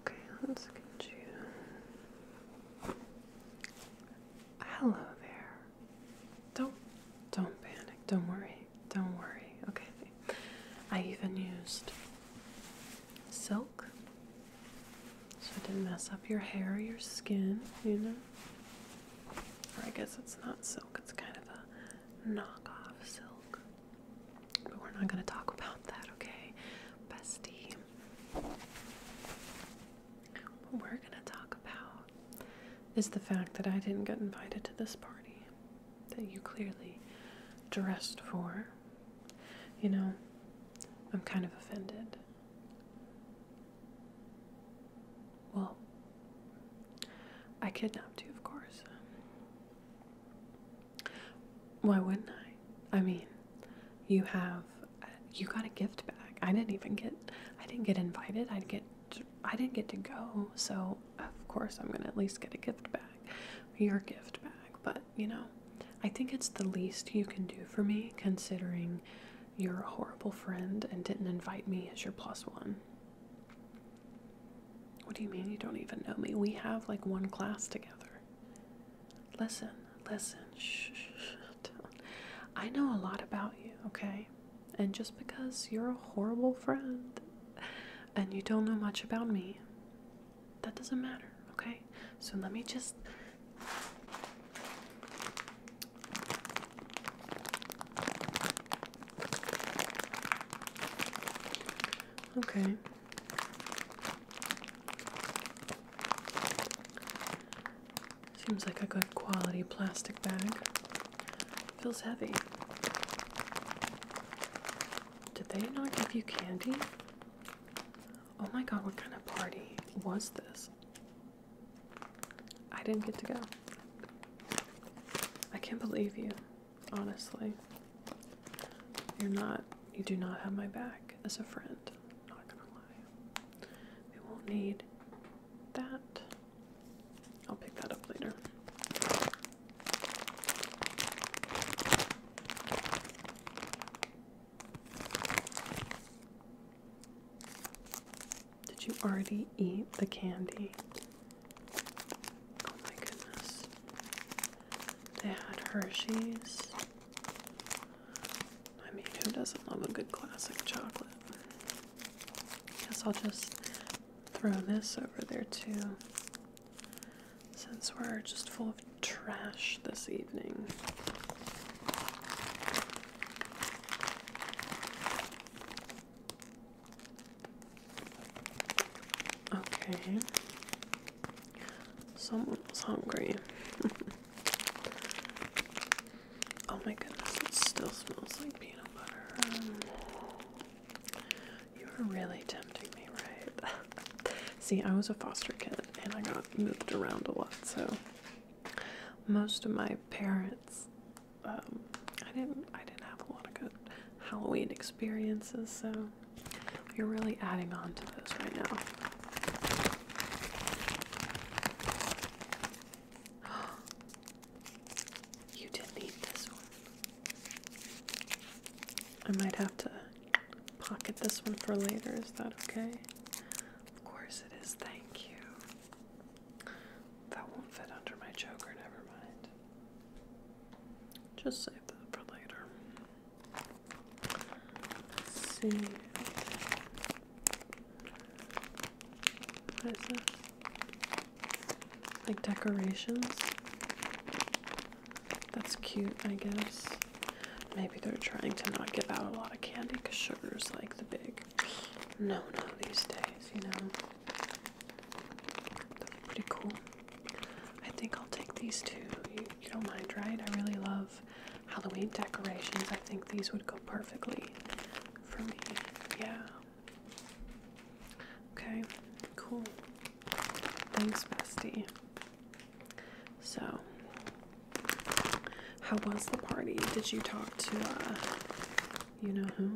Okay, let's get you. Hello there. Don't don't panic. Don't worry. Don't worry. Okay. I even used silk. So it didn't mess up your hair or your skin, you know? Or I guess it's not silk, it's kind of a knockoff silk. But we're not going to talk about that, okay? Bestie. What we're going to talk about is the fact that I didn't get invited to this party that you clearly dressed for. You know, I'm kind of offended. Well, I kidnapped you, of course. Why wouldn't I? I mean, you have you got a gift bag. I didn't even get I didn't get invited. I get I didn't get to go, so of course I'm gonna at least get a gift bag, your gift bag. But you know, I think it's the least you can do for me, considering you're a horrible friend and didn't invite me as your plus one. What do you mean you don't even know me? We have like one class together. Listen, listen, shh, I know a lot about you, okay? And just because you're a horrible friend and you don't know much about me, that doesn't matter, okay? So let me just. Okay. Seems like a good quality plastic bag. Feels heavy. Did they not give you candy? Oh my god, what kind of party was this? I didn't get to go. I can't believe you honestly. You're not, you do not have my back as a friend. i not gonna lie. We won't need that. I'll pick that up later. Did you already eat the candy? Oh my goodness. They had Hershey's. I mean, who doesn't love a good classic chocolate? I guess I'll just throw this over there too. Since we're just full of trash this evening. Okay. Someone was hungry. oh my goodness, it still smells like peanut butter. you were really tempting me, right? See, I was a foster kid and I got moved around a lot, so most of my parents um, I didn't I didn't have a lot of good Halloween experiences, so you're really adding on to those right now. You did this one. I might have to pocket this one for later. Is that okay? Of course it is. Thank you. That won't fit under my choker. Never mind. Just save that for later. see. Like decorations? That's cute, I guess. Maybe they're trying to not give out a lot of candy because sugar's like the big no no these days, you know pretty cool. I think I'll take these two. You, you don't mind, right? I really love Halloween decorations. I think these would go perfectly for me. Yeah. Okay, cool. Thanks, bestie. So, how was the party? Did you talk to, uh, you know who?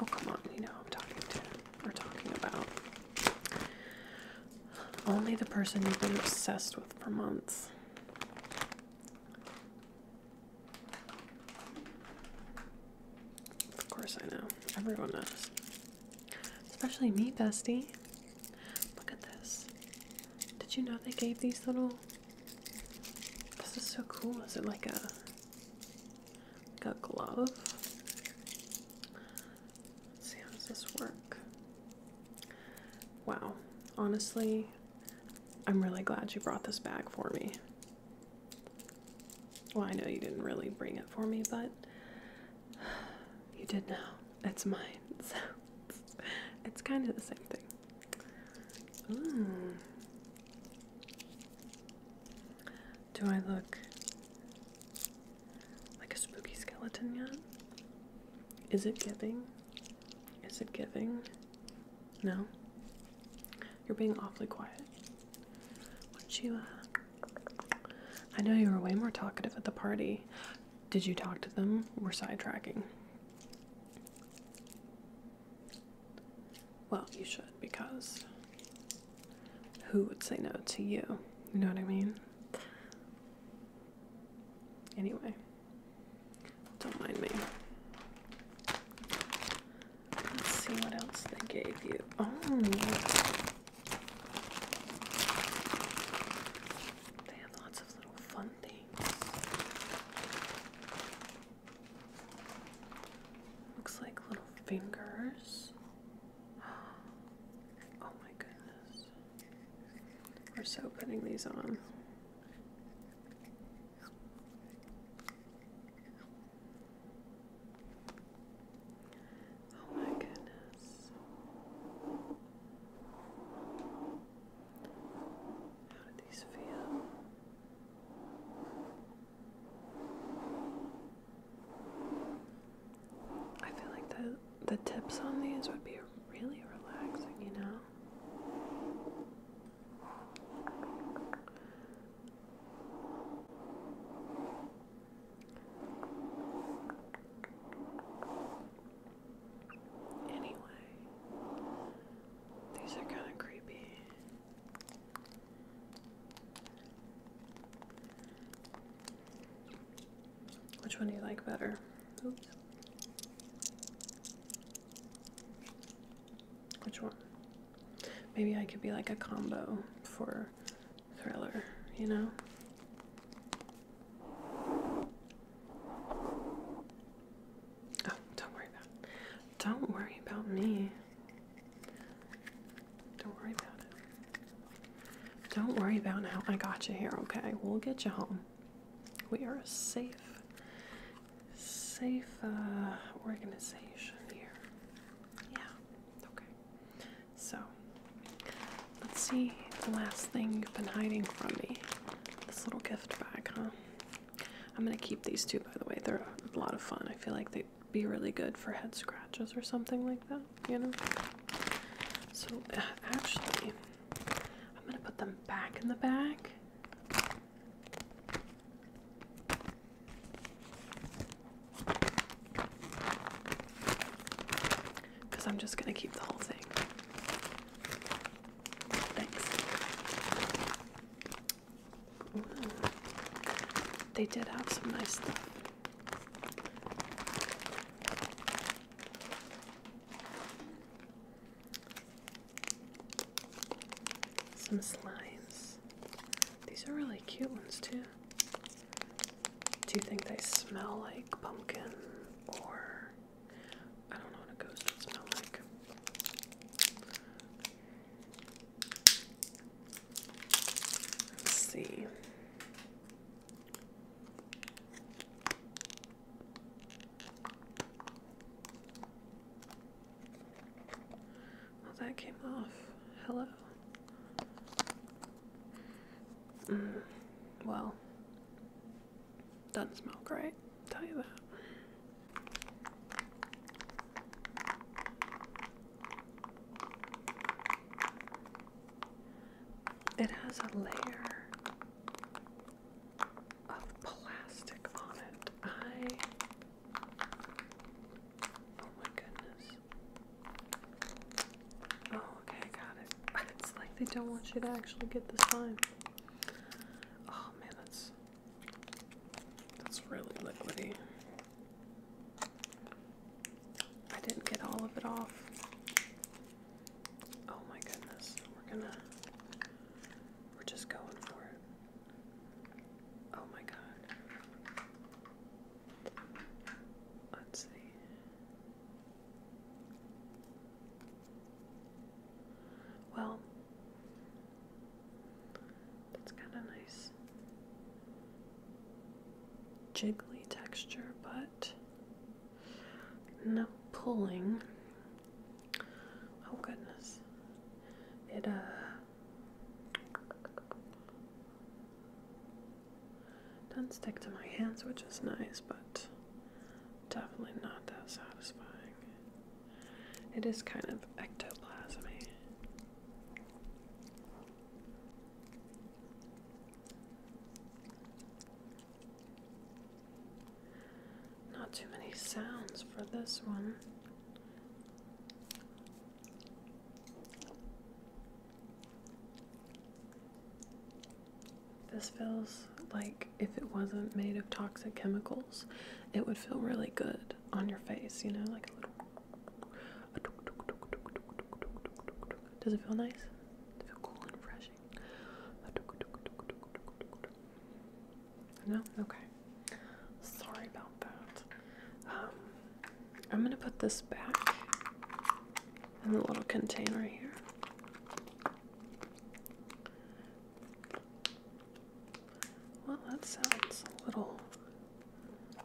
Oh, come on, you know I'm talking to. We're talking about. Only the person you've been obsessed with for months. Of course, I know. Everyone knows. Especially me, bestie. Look at this. Did you know they gave these little this is so cool. Is it like a a glove? see how does this work? Wow. Honestly, I'm really glad you brought this bag for me. Well, I know you didn't really bring it for me, but you did now. It's mine. So it's kind of the same thing. Hmm. Do I look like a spooky skeleton yet? Is it giving? Is it giving? No? You're being awfully quiet. What, Sheila? Uh, I know you were way more talkative at the party. Did you talk to them? We're sidetracking. Well, you should because who would say no to you? You know what I mean? Anyway, don't mind me. Let's see what else they gave you. Oh, they have lots of little fun things. Looks like little fingers. Oh my goodness. We're so putting these on. Oh my goodness. How do these feel? I feel like the the tips on these would be really relaxing, you know. Anyway, these are kind of creepy. Which one do you like better? Oops. Which one? Maybe I could be like a combo for thriller, you know? Oh, don't worry about it. Don't worry about me. Don't worry about it. Don't worry about how I got you here, okay? We'll get you home. We are a safe, safe uh, organization here. Yeah, okay. So, Let's see the last thing you've been hiding from me. This little gift bag, huh? I'm gonna keep these two, by the way. They're a lot of fun. I feel like they'd be really good for head scratches or something like that, you know? So, uh, actually, I'm gonna put them back in the bag. Because I'm just gonna keep the whole thing. Thanks. they did have some nice stuff. Some slimes. These are really cute ones, too. Do you think they smell like pumpkin or I don't know what a ghost would smell like? Let's see. Well, oh, that came off. Hello. Mm, well, doesn't smell great, tell you that. It has a layer of plastic on it. I. Oh my goodness. Oh, okay, got it. It's like they don't want you to actually get the slime. Oh man, that's that's really liquidy. I didn't get all of it off. Oh my goodness, we're gonna we're just going for it. Oh my god. Let's see. Well, that's kind of nice. Jiggly texture, but no pulling. Oh, goodness. It, uh, doesn't stick to my hands, which is nice, but definitely not that satisfying. It is kind of ectoplasmic. Not too many sounds for this one. This feels like if it wasn't made of toxic chemicals, it would feel really good on your face, you know, like a little. Does it feel nice? Does it feel cool and refreshing? No? Okay. Sorry about that. Um, I'm going to put this back in the little container here. Well, that sounds a little.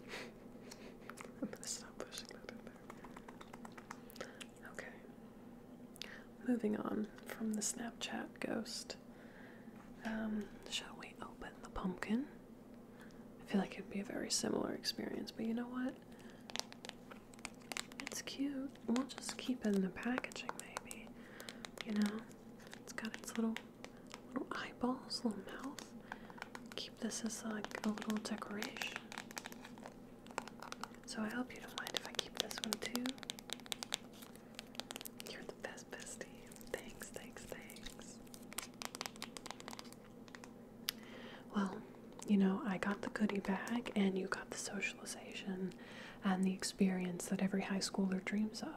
I'm going to stop pushing that in there. Okay. Moving on from the Snapchat ghost. Um, shall we open the pumpkin? I feel like it'd be a very similar experience, but you know what? It's cute. We'll just keep it in the packaging, maybe. You know, it's got its little little eyeballs, little mouth. Keep this as like a little decoration. So I hope you don't mind if I keep this one too. You're the best bestie. Thanks, thanks, thanks. Well, you know, I got the goodie bag, and you got the socialization and the experience that every high schooler dreams of.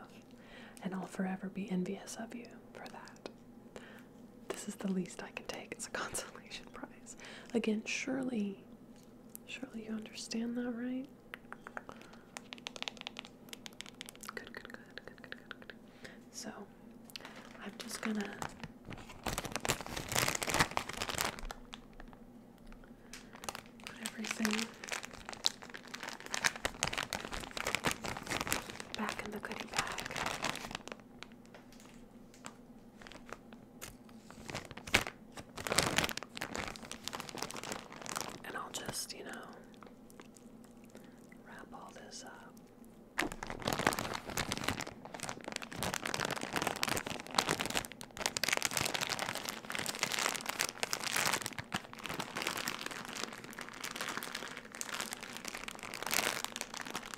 And I'll forever be envious of you for that. This is the least I can take as a consolation prize. Again, surely, surely you understand that, right? good, good, good, good, good, good, so I'm just gonna put everything back in the goodie bag. And I'll just, you know, wrap all this up.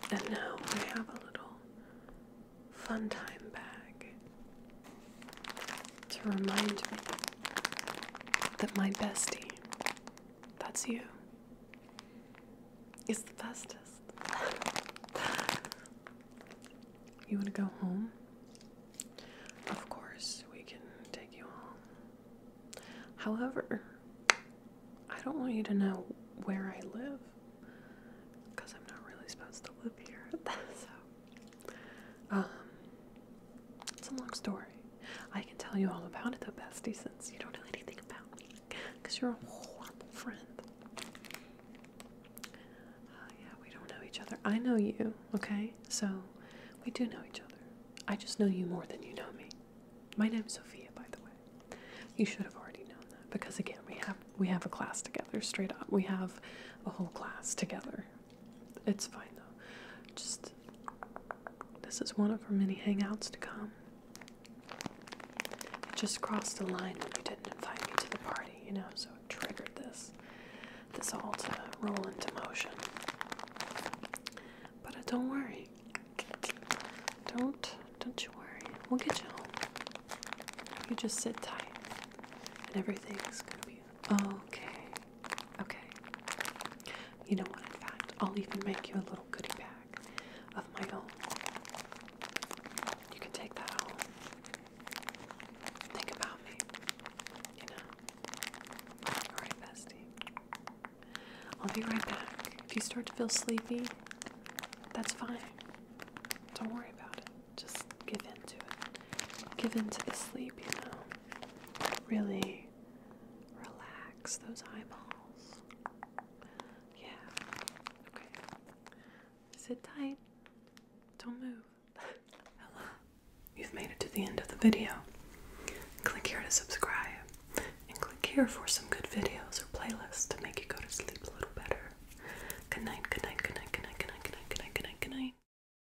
And now I have a little fun time bag to remind me that my bestie that's you. It's the bestest. you want to go home? Of course, we can take you home. However, I don't want you to know where I live because I'm not really supposed to live here. um, it's a long story. I can tell you all about it though, bestie, since you don't know anything about me. Because you're a horrible friend. Uh, yeah, we don't know each other. I know you, okay? So, we do know each other. I just know you more than you know me. My name's Sophia, by the way. You should have already known that because again, we have we have a class together straight up. We have a whole class together, it's fine though. Just this is one of her many hangouts to come. It just crossed the line when you didn't invite me to the party, you know, so it triggered this. This all to roll into motion. But uh, don't worry. Don't don't you worry. We'll get you home. You just sit tight. And everything's gonna be okay. Okay. You know what? In fact, I'll even make you a little goodie bag of my own. You can take that home. Think about me. You know? Alright, bestie. I'll be right back. If you start to feel sleepy, that's fine. Don't worry about it. Just give in to it. Give in to the sleep, you know really relax those eyeballs. Yeah. Okay. Sit tight. Don't move. Hello. You've made it to the end of the video. Click here to subscribe and click here for some good videos or playlists to make you go to sleep a little better. Good night, good night, good night, good night, good night, good night, good night, good night, good night.